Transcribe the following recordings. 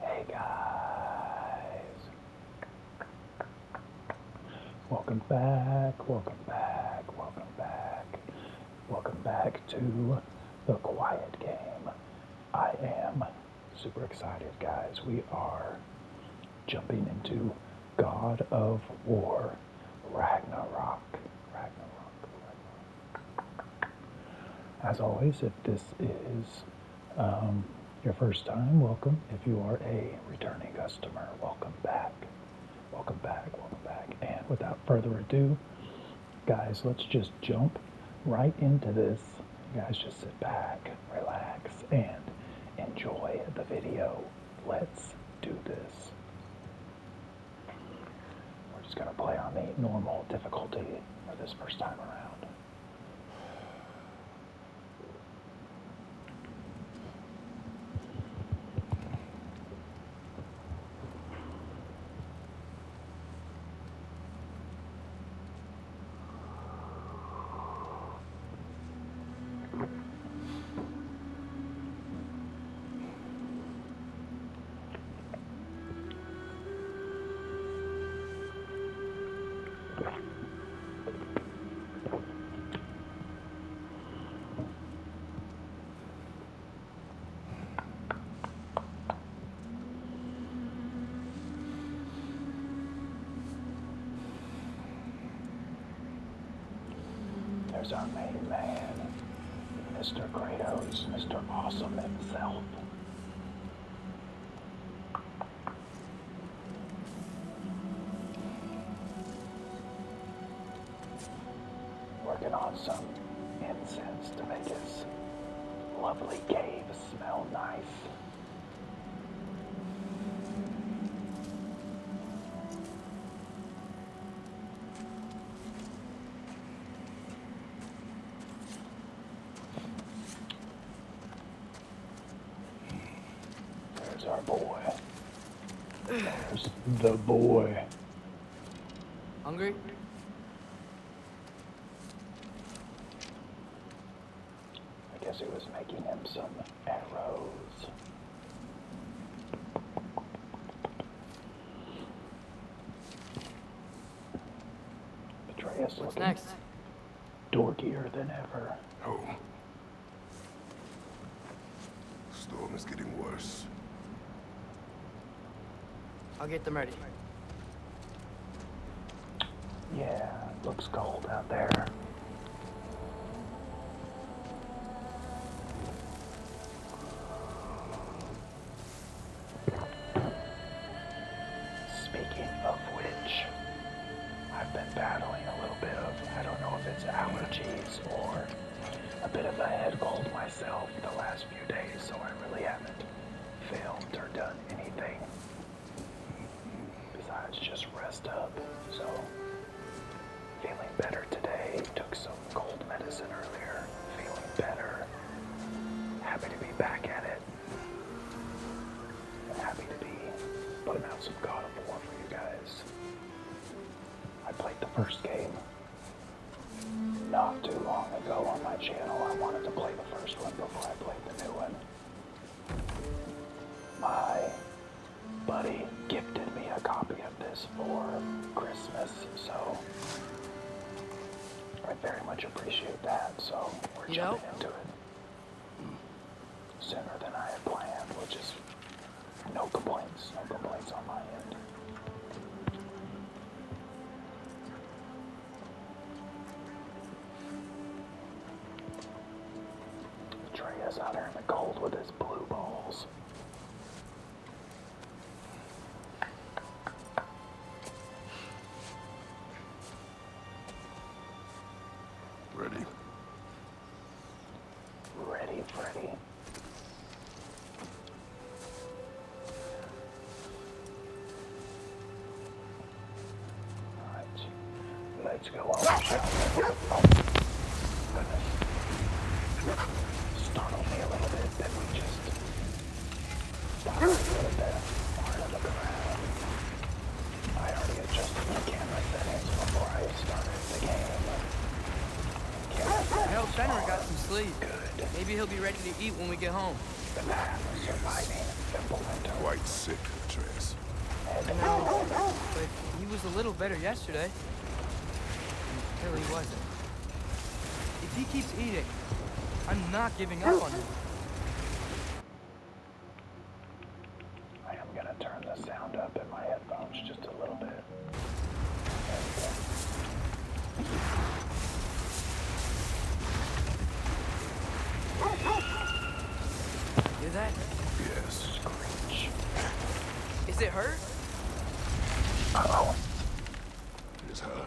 Hey guys, welcome back, welcome back, welcome back, welcome back to the Quiet Game. I am super excited, guys. We are jumping into God of War Ragnarok. As always, if this is um, your first time, welcome. If you are a returning customer, welcome back. Welcome back, welcome back. And without further ado, guys, let's just jump right into this. guys just sit back, relax, and enjoy the video. Let's do this. We're just going to play on the normal difficulty for this first time around. There's our main man. Mr. Kratos, Mr. Awesome himself. Working on some incense to make his lovely cave smell nice. There's our boy. There's the boy. Hungry? I guess he was making him some arrows. Atreus What's next? dorkier than ever. Oh. Storm is getting worse. I'll get them ready. Yeah, looks cold out there. Speaking of which, I've been battling a little bit of, I don't know if it's allergies or a bit of a head cold myself the last few days, so I really haven't filmed or done anything besides just rest up. So, feeling better today, took some cold medicine earlier, feeling better. Happy to be back at it. happy to be putting out some God of War for you guys. I played the first game not too long ago on my channel. I wanted to play the first one before I played the new one. My buddy gifted me a copy of this for Christmas, so I very much appreciate that, so we're jumping into it sooner than I had planned, which is no complaints, no complaints on my end. Trey out here in the cold with his blue balls. Ready. Ready, ready. Alright. Let's go Startled me a little bit that we just Fenner got some sleep. Good. Maybe he'll be ready to eat when we get home. The path of surviving implemented. Quite sick, Trace. No, but he was a little better yesterday. Until he wasn't. If he keeps eating, I'm not giving up on him. I am gonna turn the sound up in my headphones just a little bit. Hear that? Yes, screech. Is it her? oh. It is her.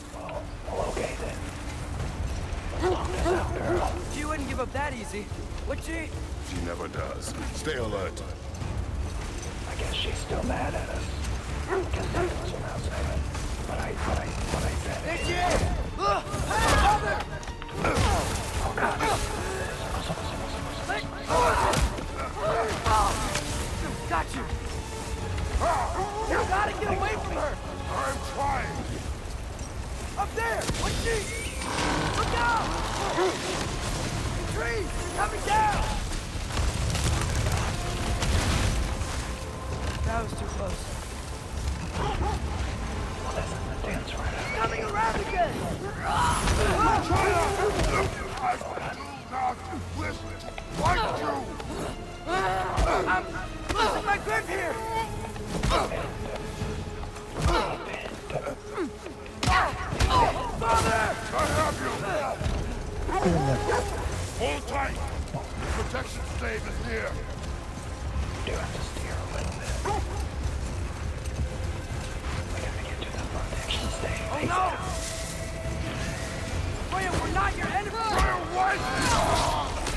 Well, well okay then. As long as out, girl. She wouldn't give up that easy, would she? She never does. Stay alert. I guess she's still mad at us. Because that was an outside. But I, but I, but I said There she is! Look! Mother! Oh, God. Let go! Got you! You gotta get away from her! I'm trying! Up there! What's this? Look out! The trees! Coming down! That was too close. Well, that's not the dance right out. Coming around again! Try not! I do not listen! Like you! I'm losing my grip here! Hold tight! The protection stave is near! Do have to steer a little bit. We gotta get to the protection stave. Oh no! we're not your enemy! Freya, what?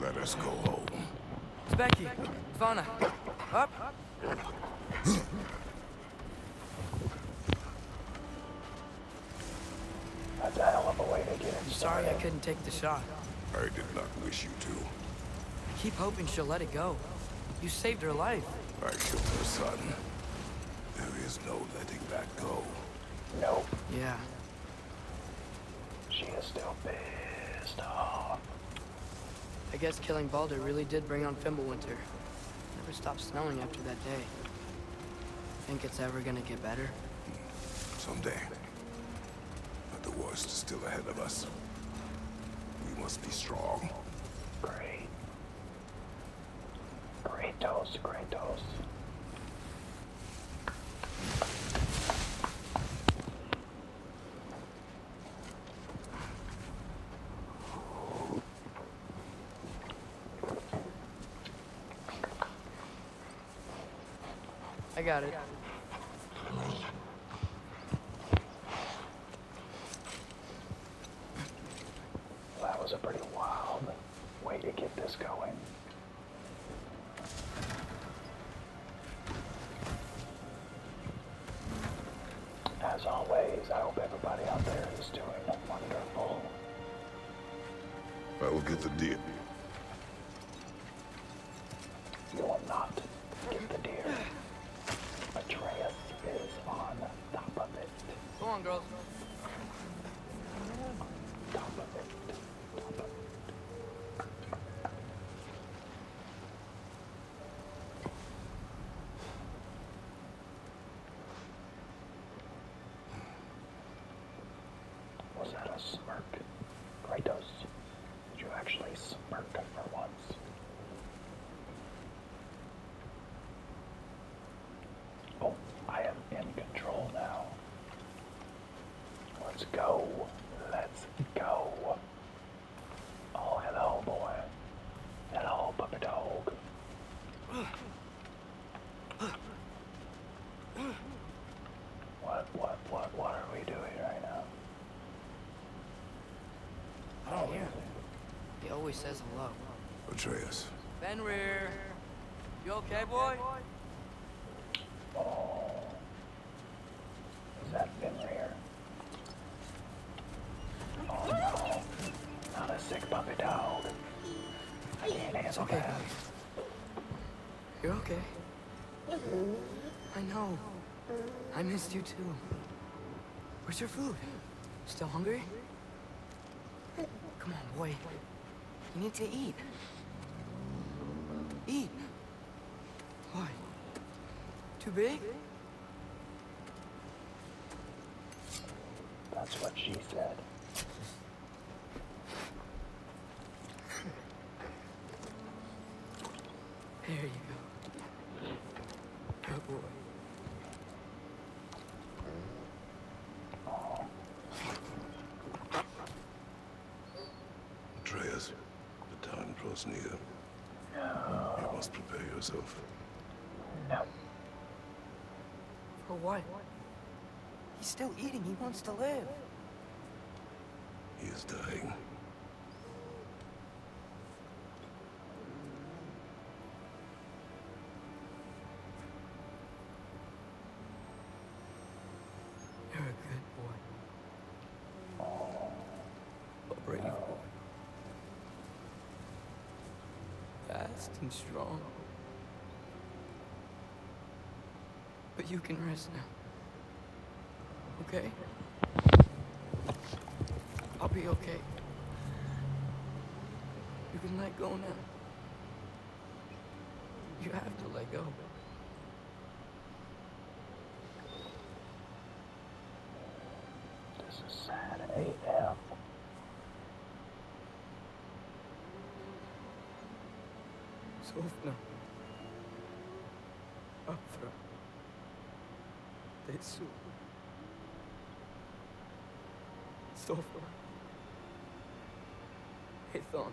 Let us go home. Becky, Vana, up. That's a hell of a way to get in. Sorry I couldn't take the shot. I did not wish you to. I keep hoping she'll let it go. You saved her life. I killed her son. There is no letting that go. Nope. Yeah, I guess killing Balder really did bring on Fimblewinter. Never stopped snowing after that day. Think it's ever gonna get better? Someday. But the worst is still ahead of us. We must be strong. Great. Great toast, great toast. I got it. that was a pretty wild way to get this going. As always, I hope everybody out there is doing wonderful. I will get the deer. You will not get the deer. Atreus is on top of it. Go on, girls. Was that a smirk? Kratos, did you actually smirk for once? Oh, I am in control now. Let's go. Let's go. Oh, hello, boy. Hello, puppy dog. What, what, what, what are we doing right now? I do He always says hello. Ben Fenrir. You okay, boy? Oh. Is that been here? Oh, no. Not a sick puppy dog. I can't handle that. you okay. I know. I missed you too. Where's your food? Still hungry? Come on, boy. You need to eat. Eat. Why? Too big? That's what she said. There you go. Good boy. Atreus, the time draws near. You must prepare yourself. No. For what? He's still eating. He wants to live. He is dying. You're a good boy. A brave boy. Fast and strong. But you can rest now. Okay? I'll be okay. You can let go now. You have to let go. This is sad AF. Sofna. Afra. Tetsu. Sofna. Ethon.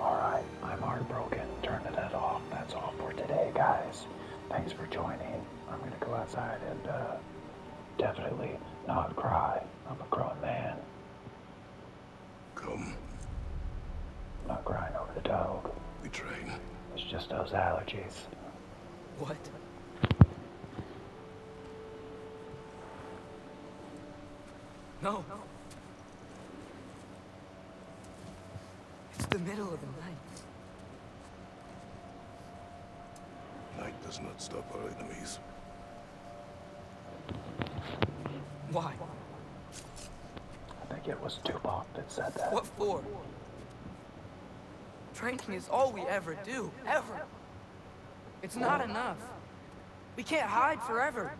Alright, I'm heartbroken. Turn it at off. That's all for today, guys. Thanks for joining. I'm gonna go outside and uh, definitely not cry. I'm a grown man. Come. not crying over the dog. We train. It's just those allergies. What? No. no. It's the middle of the night. Night does not stop our enemies. Why? I think it was Duboc that said that. What for? Drinking is all we ever do, ever. It's not enough. We can't hide forever.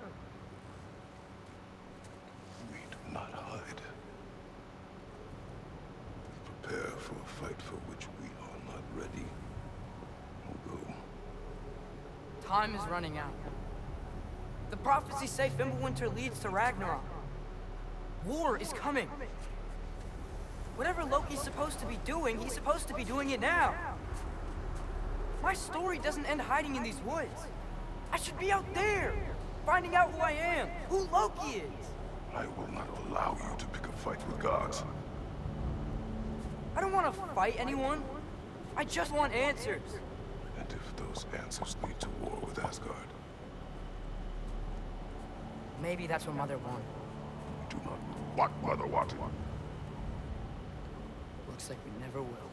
We do not hide. prepare for a fight for which we are not ready. we Time is running out. The prophecies say Fimbulwinter leads to Ragnarok. War is coming. Whatever Loki's supposed to be doing, he's supposed to be doing it now. My story doesn't end hiding in these woods. I should be out there, finding out who I am, who Loki is. I will not allow you to pick a fight with gods. I don't want to fight anyone. I just want answers. And if those answers lead to war with Asgard? Maybe that's what Mother wants. Do not what Mother wants. Looks like we never will.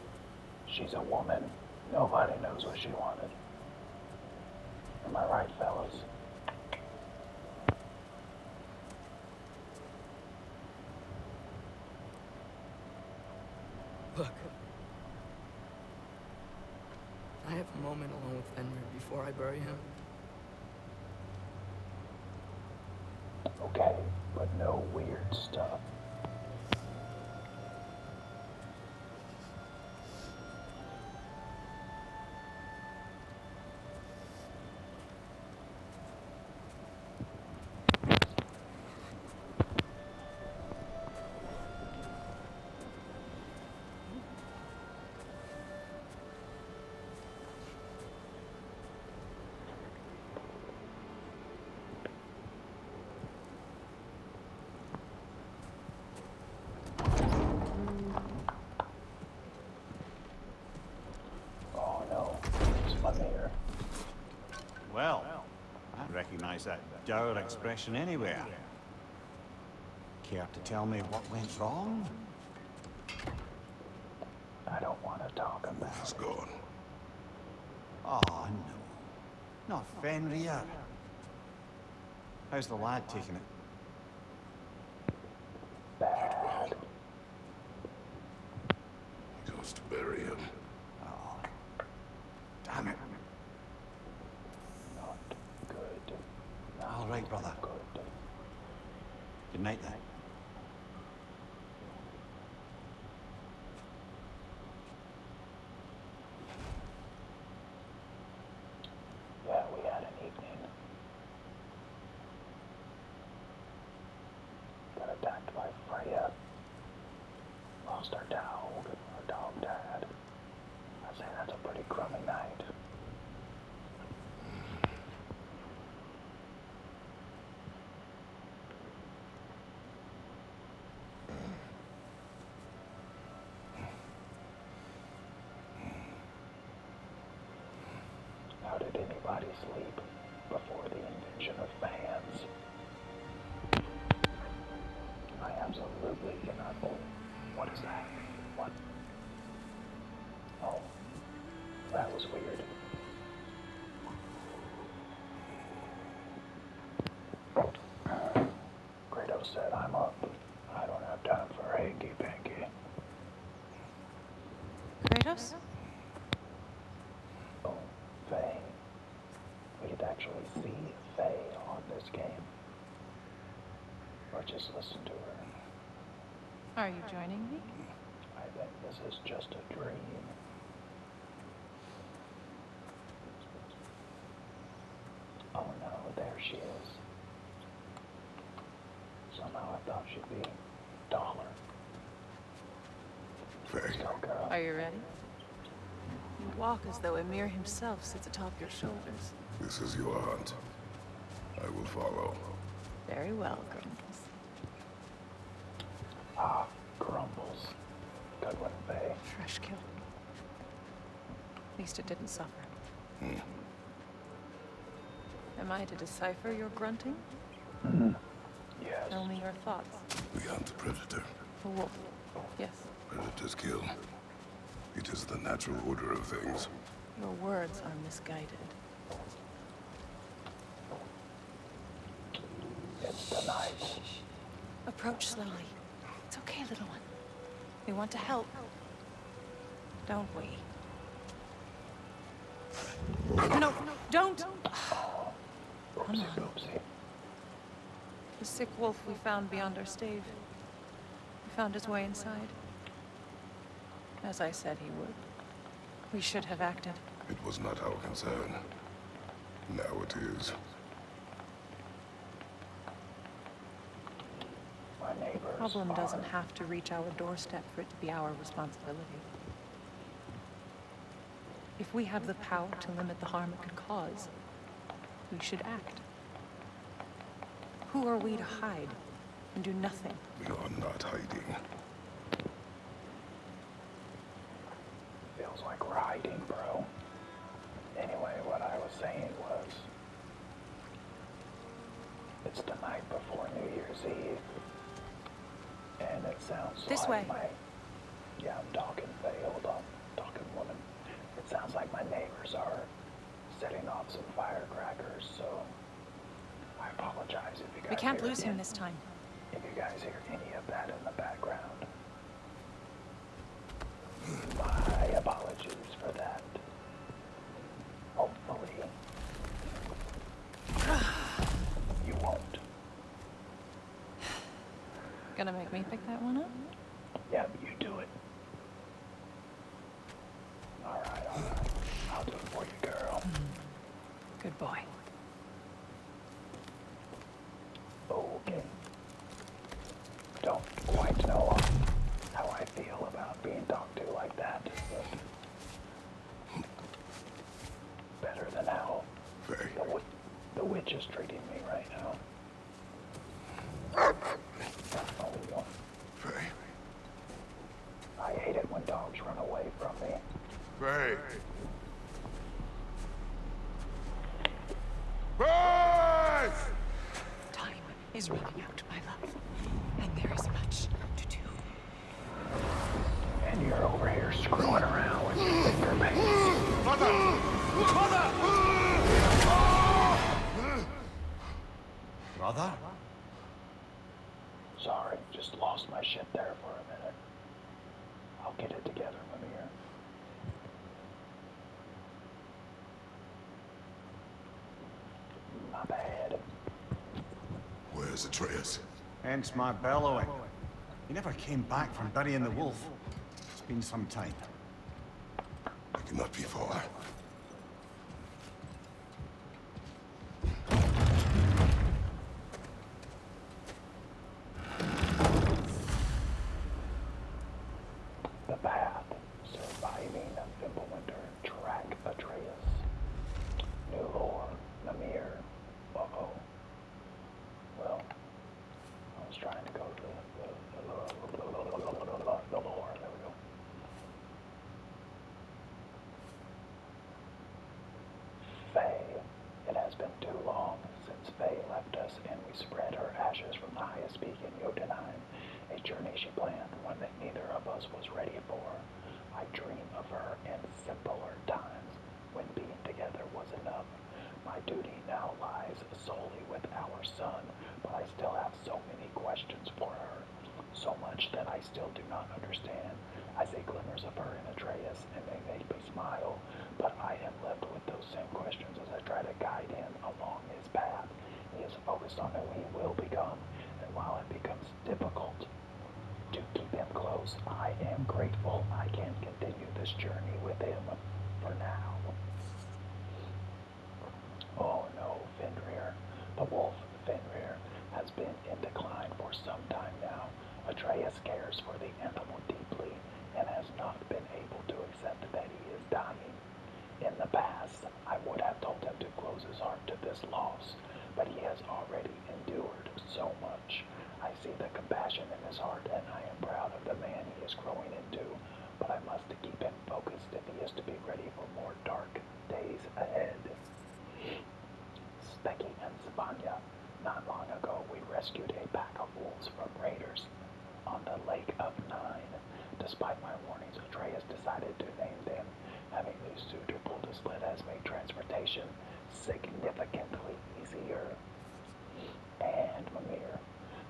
She's a woman. Nobody knows what she wanted. Am I right, fellas? Look. I have a moment alone with Fenrir before I bury him. Okay, but no weird stuff. Oh no, there's one there. Well, I recognize that dour expression anywhere. Care to tell me what went wrong? I don't want to talk about He's gone. oh, ah, no. Not Fenrir. How's the lad taking it? Bad. He goes to bury him. Oh. Damn it. Not good. All right, brother. Good. Good night, then. Yeah, we had an evening. Got attacked by Freya. Lost our dog. Our dog died. i say that's a pretty crummy night. How did anybody sleep before the invention of fans? I absolutely cannot. Oh, what is that? What? Oh, that was weird. Grado said, I'm up. I don't have time for hanky panky. Kratos? Oh, Faye. We could actually see Faye on this game. Or just listen to her. Are you joining me? I think this is just a dream. Oh no, there she is. Somehow I thought she'd be taller. Let's Are you ready? You walk as though Emir himself sits atop your shoulders. This is your hunt. I will follow. Very well, Grimmels. Ah, grumbles. Goodwin Bay. Fresh kill. At least it didn't suffer. Hmm. Am I to decipher your grunting? Mm -hmm. Yes. Tell me your thoughts. We hunt the predator. For what? Yes. Predators kill. It is the natural order of things. Your words are misguided. It's the Approach slowly. It's okay, little one. We want to help. Don't we? No, don't! The sick wolf we found beyond our stave. He found his way inside. As I said he would. We should have acted. It was not our concern. Now it is. The problem doesn't have to reach our doorstep for it to be our responsibility. If we have the power to limit the harm it could cause, we should act. Who are we to hide and do nothing? We are not hiding. Feels like riding, bro. Anyway, what I was saying was it's the night before New Year's Eve. And it sounds like my yeah, I'm talking Faye, hold on. Talking woman. It sounds like my neighbors are setting off some firecrackers, so I apologize if you guys. We can't lose him this time. If you guys hear any of that in the background, my apologies for that. Hopefully, you won't. Gonna make me pick that one up? Yeah, you do it. Alright, alright. I'll do it for you, girl. Hmm. Good boy. Okay. Don't quite know how I feel about being talked to like that, better than how Very. The, the witch is treating me right now. Very. I hate it when dogs run away from me. Bang! Bang! Time is running out, my love. And there is much to do. And you're over here screwing around with your finger bang. Mother! Mother! Mother? Sorry, just lost my shit there for a minute. I'll get it together from here. My bad. Where's Atreus? Hence my bellowing. He never came back from burying the wolf. It's been some time. It cannot be far. The path, surviving a track Atreus. New lore, Namir. Well, I was trying to go to the, the, the, the, the, the, the, the lore. There we go. Faye. It has been too long since Faye left us, and we spread her ashes from the highest peak in Jotunheim, a journey she planned, one that neither of us was ready for. I dream of her in simpler times, when being together was enough. My duty now lies solely with our son, but I still have so many questions for her so much that I still do not understand. I see glimmers of her in Atreus, and they make me smile, but I am left with those same questions as I try to guide him along his path. He is focused on who he will become, and while it becomes difficult to keep him close, I am grateful I can continue this journey with him for now. Oh no, Fenrir. The wolf Fenrir has been in decline for some time now. Atreus cares for the animal deeply and has not been able to accept that he is dying. In the past, I would have told him to close his heart to this loss, but he has already endured so much. I see the compassion in his heart, and I am proud of the man he is growing into, but I must keep him focused if he is to be ready for more dark days ahead. Becky and Savanya. Not long ago, we rescued a pack of wolves from raiders on the Lake of Nine. Despite my warnings, Atreus decided to name them, having the suitable to split has made transportation significantly easier. And Mimir.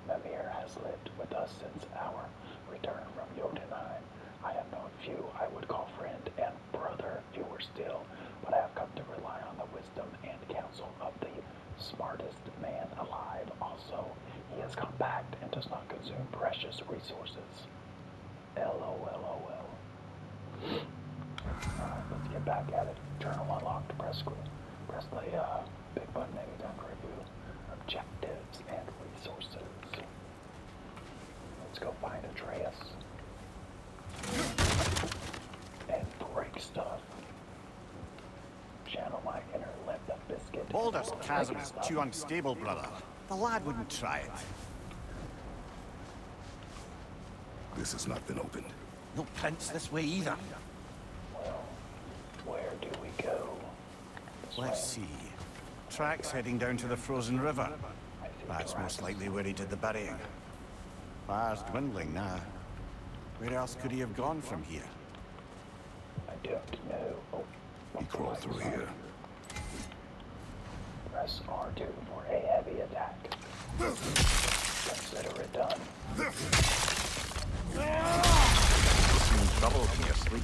Mimir has lived with us since our return from Jotunheim. I have known few I would call friend and brother younger and still, but I have come to rely on the wisdom and counsel of the smartest man alive. Also, he has come back and does not consume precious resources. LOLOL. Alright, let's get back at it. Journal unlocked. Press, press the uh, big button anytime to review objectives and resources. Let's go find Atreus. And break stuff. Channel my inner lip of biscuit. Baldur's chasm is too unstable, brother. The lad wouldn't try it. This has not been opened. No prints this way either. Well, where do we go? Let's see. Tracks heading down to the frozen river. That's most likely where he did the burying. Fire's dwindling now. Where else could he have gone from here? I don't know. Oh, crawl through here. Press R2 for a heavy attack. Consider it done. Seems trouble in your sleep,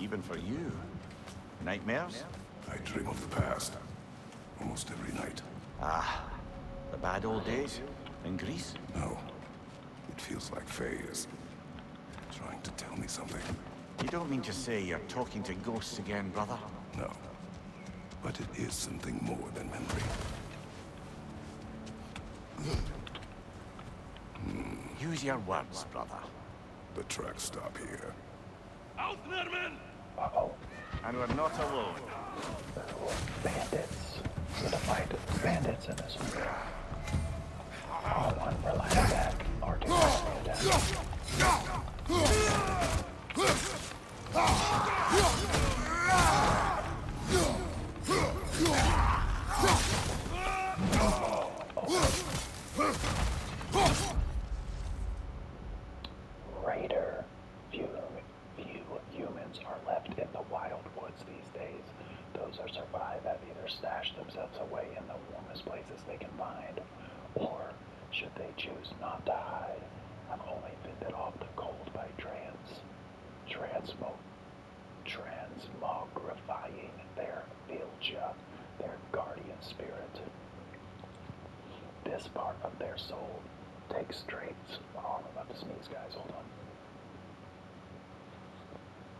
even for you. Nightmares? I dream of the past. Almost every night. Ah, the bad old days in Greece? No. It feels like Faye trying to tell me something. You don't mean to say you're talking to ghosts again, brother? No. But it is something more than memory. Use your words, brother. The tracks stop here. Out, Nerman! Uh oh. And we're not alone. Bandits. We're gonna fight bandits in this one. Oh, one rely attack. Or two attack. Oh greater few, humans are left in the wild woods these days. Those that survive have either stashed themselves away in the warmest places they can find, or should they choose not to hide, have only fended off the cold by trans, transmogrifying their bilgia their guardian spirit. This part of their soul takes traits. Oh, I'm about to sneeze, guys. Hold on.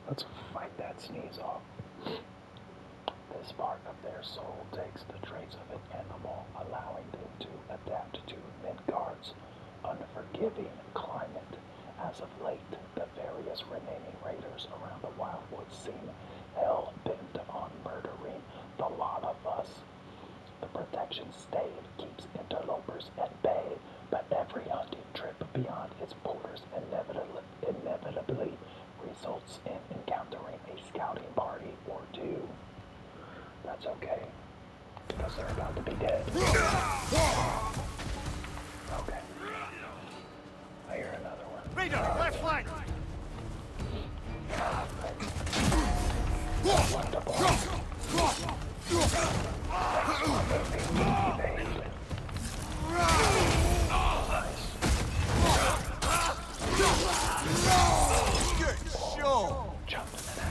Let's fight that sneeze off. This part of their soul takes the traits of an animal, allowing them to adapt to Midgard's unforgiving climate. As of late, the various remaining raiders around the Wildwood seem hell bent on murdering the lot of us. The protection stave keeps interlopers at bay, but every hunting trip beyond its borders inevitably, inevitably results in encountering a scouting party or two. That's okay, because they're about to be dead. Okay. I hear another one. Radar, left flank! Jumping in the air.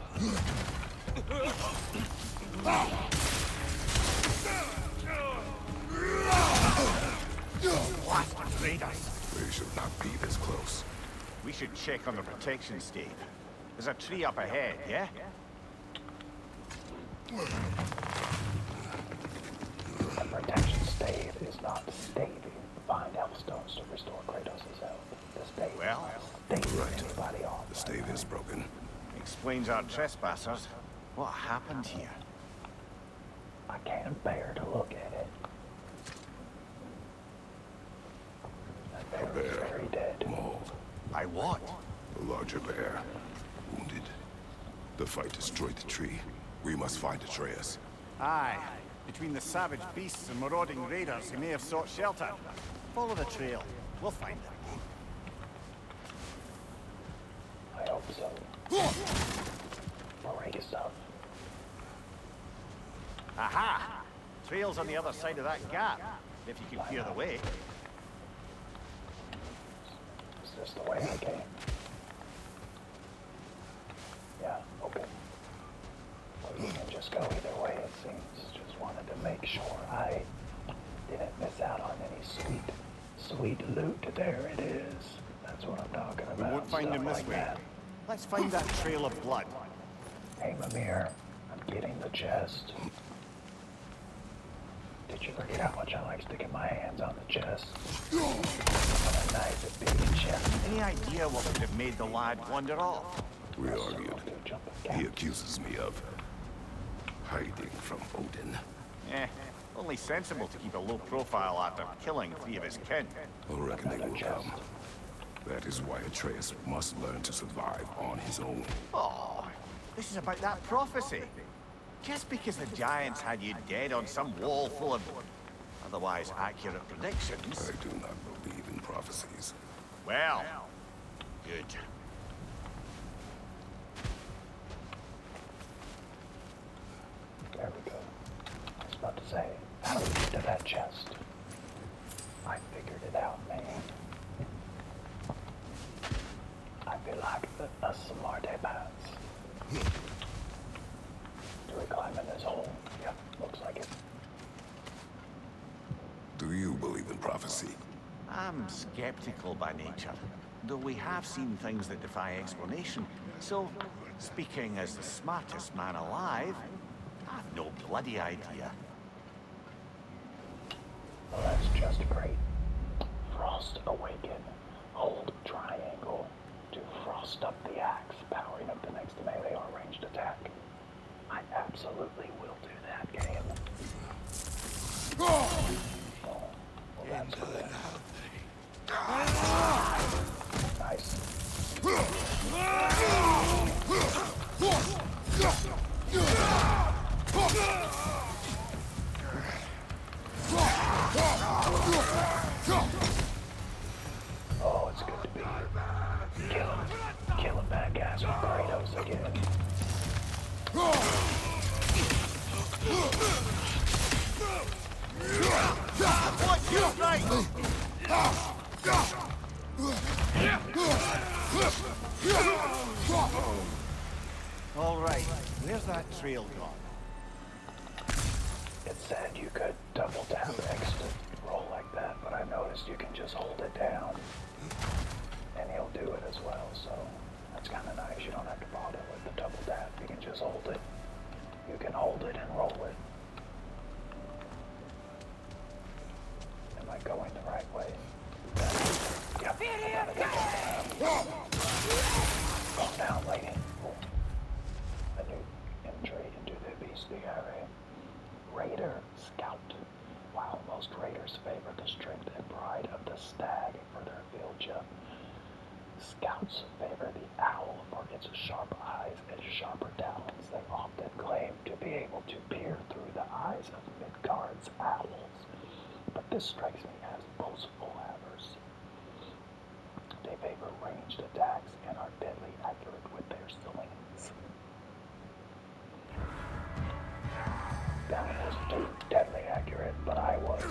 What? Betrayed We should not be this close. We should check on the protection stave. There's a tree up ahead, yeah? The protection stave is not staving. Find Hellstones to restore Kratos' health. well, all right. The stave is broken. Explains our trespassers. What happened here? I can't bear to look at it. That bear, bear very dead. Mauled. I what? the larger bear. Wounded. The fight destroyed the tree. We must find Atreus. Aye. Between the savage beasts and marauding raiders he may have sought shelter. Follow the trail. We'll find him. I hope so. i us up. Aha! Trail's on the other side of that gap, if you can clear the way. Is the way? Yeah, okay. Or can just go either way, it seems. Just wanted to make sure I didn't miss out on any sweet, sweet loot. There it is. That's what I'm talking about. We won't find him this way. Let's find that trail of blood. Hey, Mimir. I'm getting the chest. Did you forget how much I like sticking my hands on the chest? What a nice big chest. Any idea what would have made the lad wander off? We argued. He accuses me of hiding from Odin. Eh, eh, only sensible to keep a low profile after killing three of his kin. reckon they will come. That is why Atreus must learn to survive on his own. Oh, this is about that prophecy. Just because the Giants had you dead on some wall full of otherwise accurate predictions... I do not believe in prophecies. Well, good. There about to say, how do get to that chest? I figured it out, man. I feel like a smart Do we climb in this hole? Yep, looks like it. Do you believe in prophecy? I'm skeptical by nature, though we have seen things that defy explanation. So, speaking as the smartest man alive, I've no bloody idea. let just pray. Frost awaken. Hold triangle to frost up the axe, powering up the next melee or ranged attack absolutely will do that game. Oh, that's good. Oh, it's good to be here. Killing bad guys with Kratos again. All right, where's that trail gone? It said you could double down exit roll like that, but I noticed you can just hold it down and he'll do it as well. So that's kind of nice. You don't have to bother with the double tap. You can just hold it. You can hold it and roll it. Am I going the right way? Yep. Go down, lady. A new entry into the beastly area. Raider Scout while most raiders favor the strength and pride of the stag for their field chip. Scouts favor the owl for its sharp eyes and sharper talons. They often claim to be able to peer through the eyes of Midgard's owls, but this strikes me as boastful havers. They favor ranged attacks and are deadly accurate with their slings. That wasn't too deadly accurate, but I was.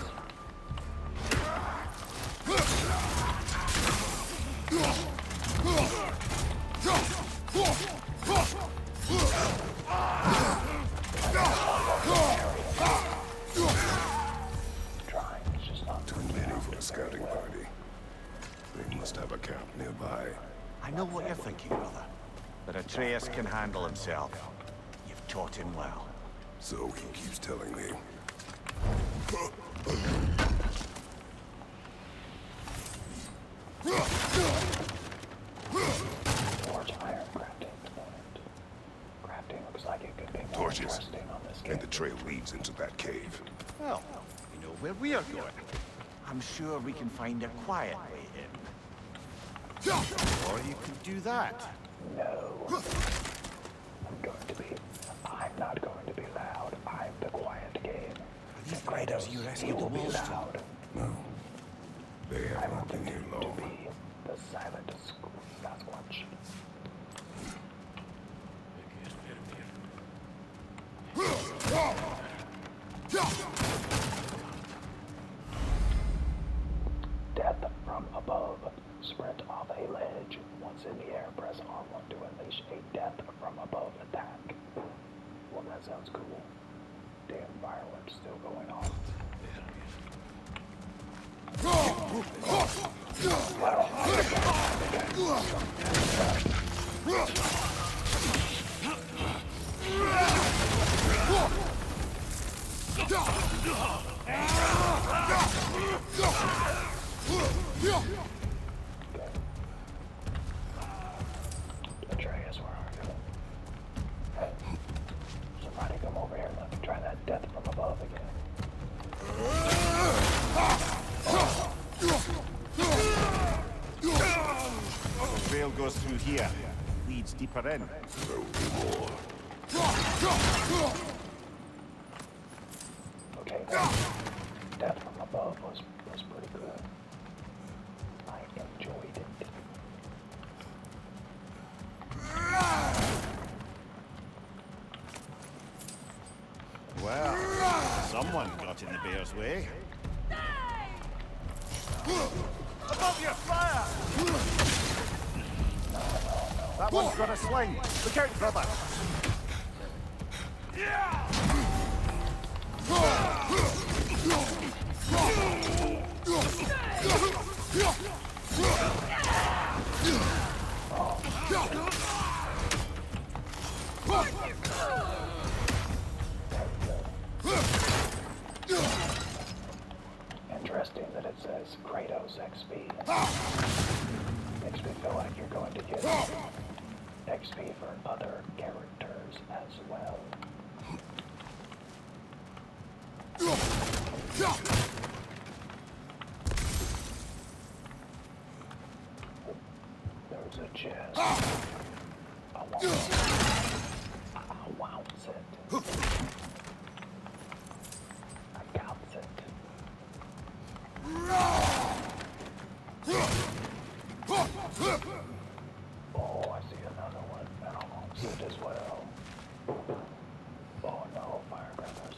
too many for a scouting party. They must have a camp nearby. I know what you're thinking, brother. That Atreus can handle himself. You've taught him well. So he keeps telling me. Forge iron crafting Crafting looks like it could be Torches. And the trail leads into that cave. Well, you know where we are going. I'm sure we can find a quiet way in. Or you could do that. No. I'm going to be... I'm not going to be loud. I'm the quiet game. These Kratos, you rescued the No. I not been to be the silent Sasquatch. Death from above. Sprint off a ledge. Once in the air, press R1 to unleash a death from above attack. Well, that sounds cool. Damn, fireworks still going off. Well, Try guess where are you? Somebody come over here and let me try that death from above again. Oh. The trail goes through here. Leads deeper in. Okay, that, that from above was, was pretty good. I enjoyed it. Well, someone got in the bear's way. Above you! Fire! That one's got a sling. Look out, brother. Yeah! Interesting that it says Kratos XP. Makes me feel like you're going to get XP for other characters as well. There's a chance. I want it. I want it. I got it. Oh, I see another one. And I want it as well. Oh no, firecrackers.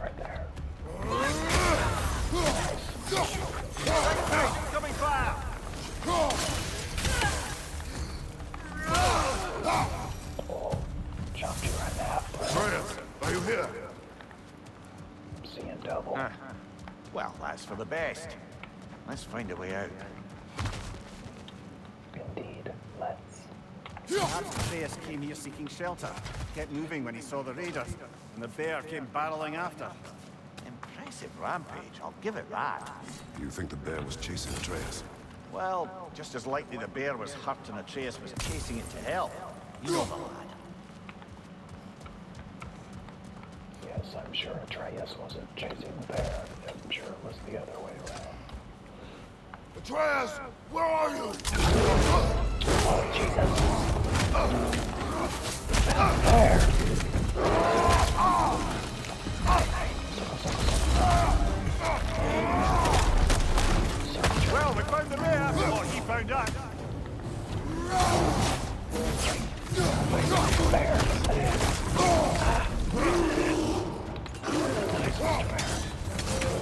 Right there. Incoming fire! Oh, jumped you right now. Atreus, are you here? Seeing double. Uh, well, that's for the best. Let's find a way out. Indeed, let's. Perhaps Atreus came here seeking shelter. Get moving when he saw the raider and the bear came barreling after. Impressive rampage, I'll give it that. you think the bear was chasing Atreus? Well, just as likely the bear was hurt and Atreus was chasing it to help. You know the lad. Yes, I'm sure Atreus wasn't chasing the bear. I'm sure it was the other way around. Atreus! Where are you? there. Well, we found the mayor. Or he found us. There.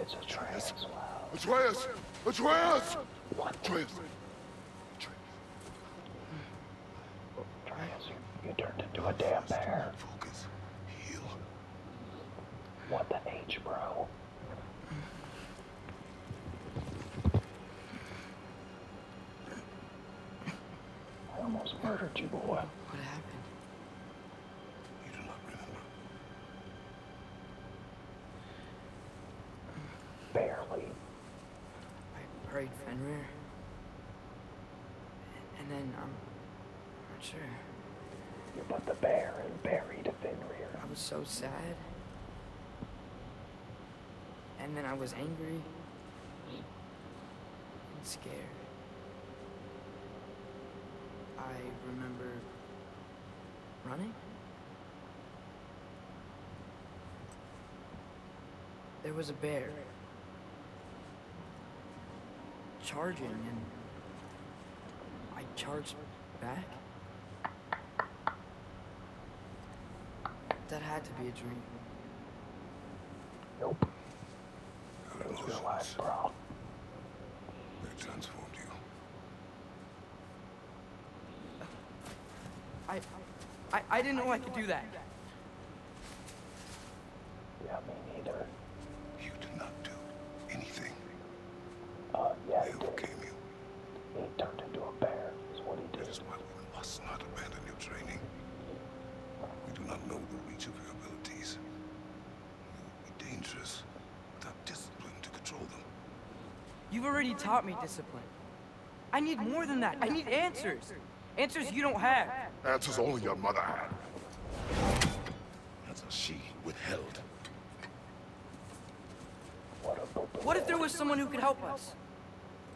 It's Atreus as well. Atreus! Atreus! What? Atreus! Atreus, you, you turned into a damn bear. Focus. Heal. What the H, bro? I almost murdered you, boy. What happened? You do not remember. Barely. I buried Fenrir. And then, um, I'm not sure. You put the bear and buried Fenrir. I was so sad. And then I was angry. And scared. I remember Running? There was a bear. Charging, and I charged back? That had to be a dream. Nope. It was real life, bro. They transformed you. I, I, I didn't know I, could do that. Yeah, me neither. You did not do anything. Uh, yeah, you. He turned into a bear, is what he did. That is why we must not abandon your training. We do not know the reach of your abilities. You would be dangerous Without discipline to control them. You've already taught me discipline. I need more than that. I need answers. Answers you don't have. Answers only your mother had. Answers she withheld. What if there was someone who could help us?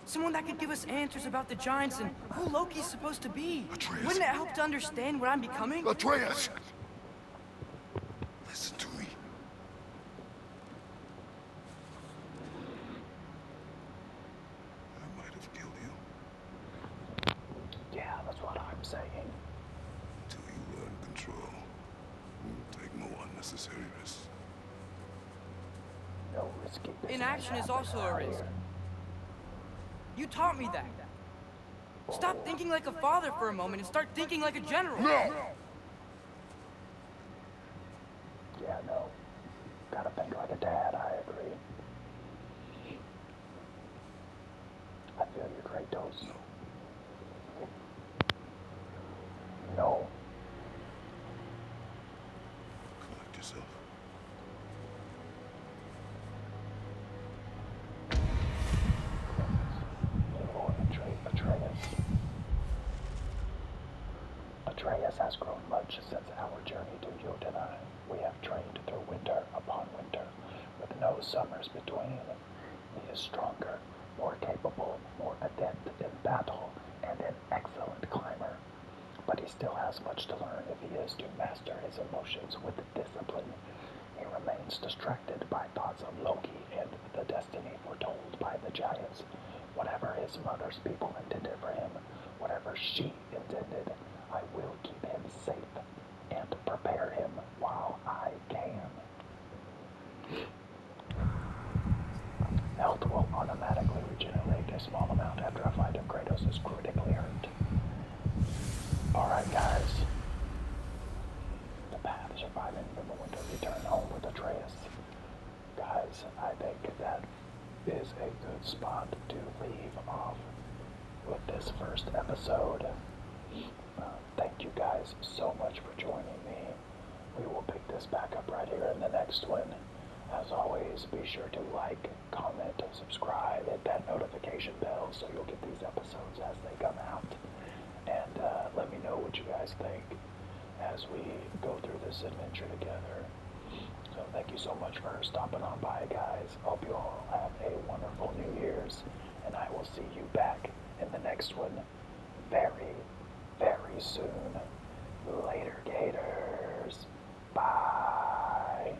Someone that could give us answers about the Giants and who Loki's supposed to be. Atreus. Wouldn't it help to understand where I'm becoming? Atreus! Listen to me. I might have killed you. Yeah, that's what I'm saying. Until you learn control, take no unnecessary risks. No risky Inaction is also a risk. You taught me that. Stop thinking like a father for a moment and start thinking like a general. No! Yeah, no. Gotta think like a dad, I agree. I feel your great dose. No. Collect yourself. Atreus. Atreus has grown much since our journey to Yodanai. We have trained through winter upon winter, with no summers between. He is stronger, more capable, more adept in battle, and an excellent climber. But he still has much to learn if he is to master his emotions with discipline he remains distracted by thoughts of Loki and the destiny foretold by the giants. Whatever his mother's people intended for him, whatever she intended, I will keep him safe and prepare him while I can. Health will automatically regenerate a small amount after a fight of Kratos is critically hurt. Alright guys, the path surviving from the winter return home with Atreus. Guys, I think that is a good spot to leave off with this first episode. Uh, thank you guys so much for joining me. We will pick this back up right here in the next one. As always, be sure to like, comment, subscribe, hit that notification bell so you'll get these episodes as they come out and uh, let me know what you guys think as we go through this adventure together. So thank you so much for stopping on by, guys. Hope you all have a wonderful New Year's, and I will see you back in the next one very, very soon. Later, Gators. Bye.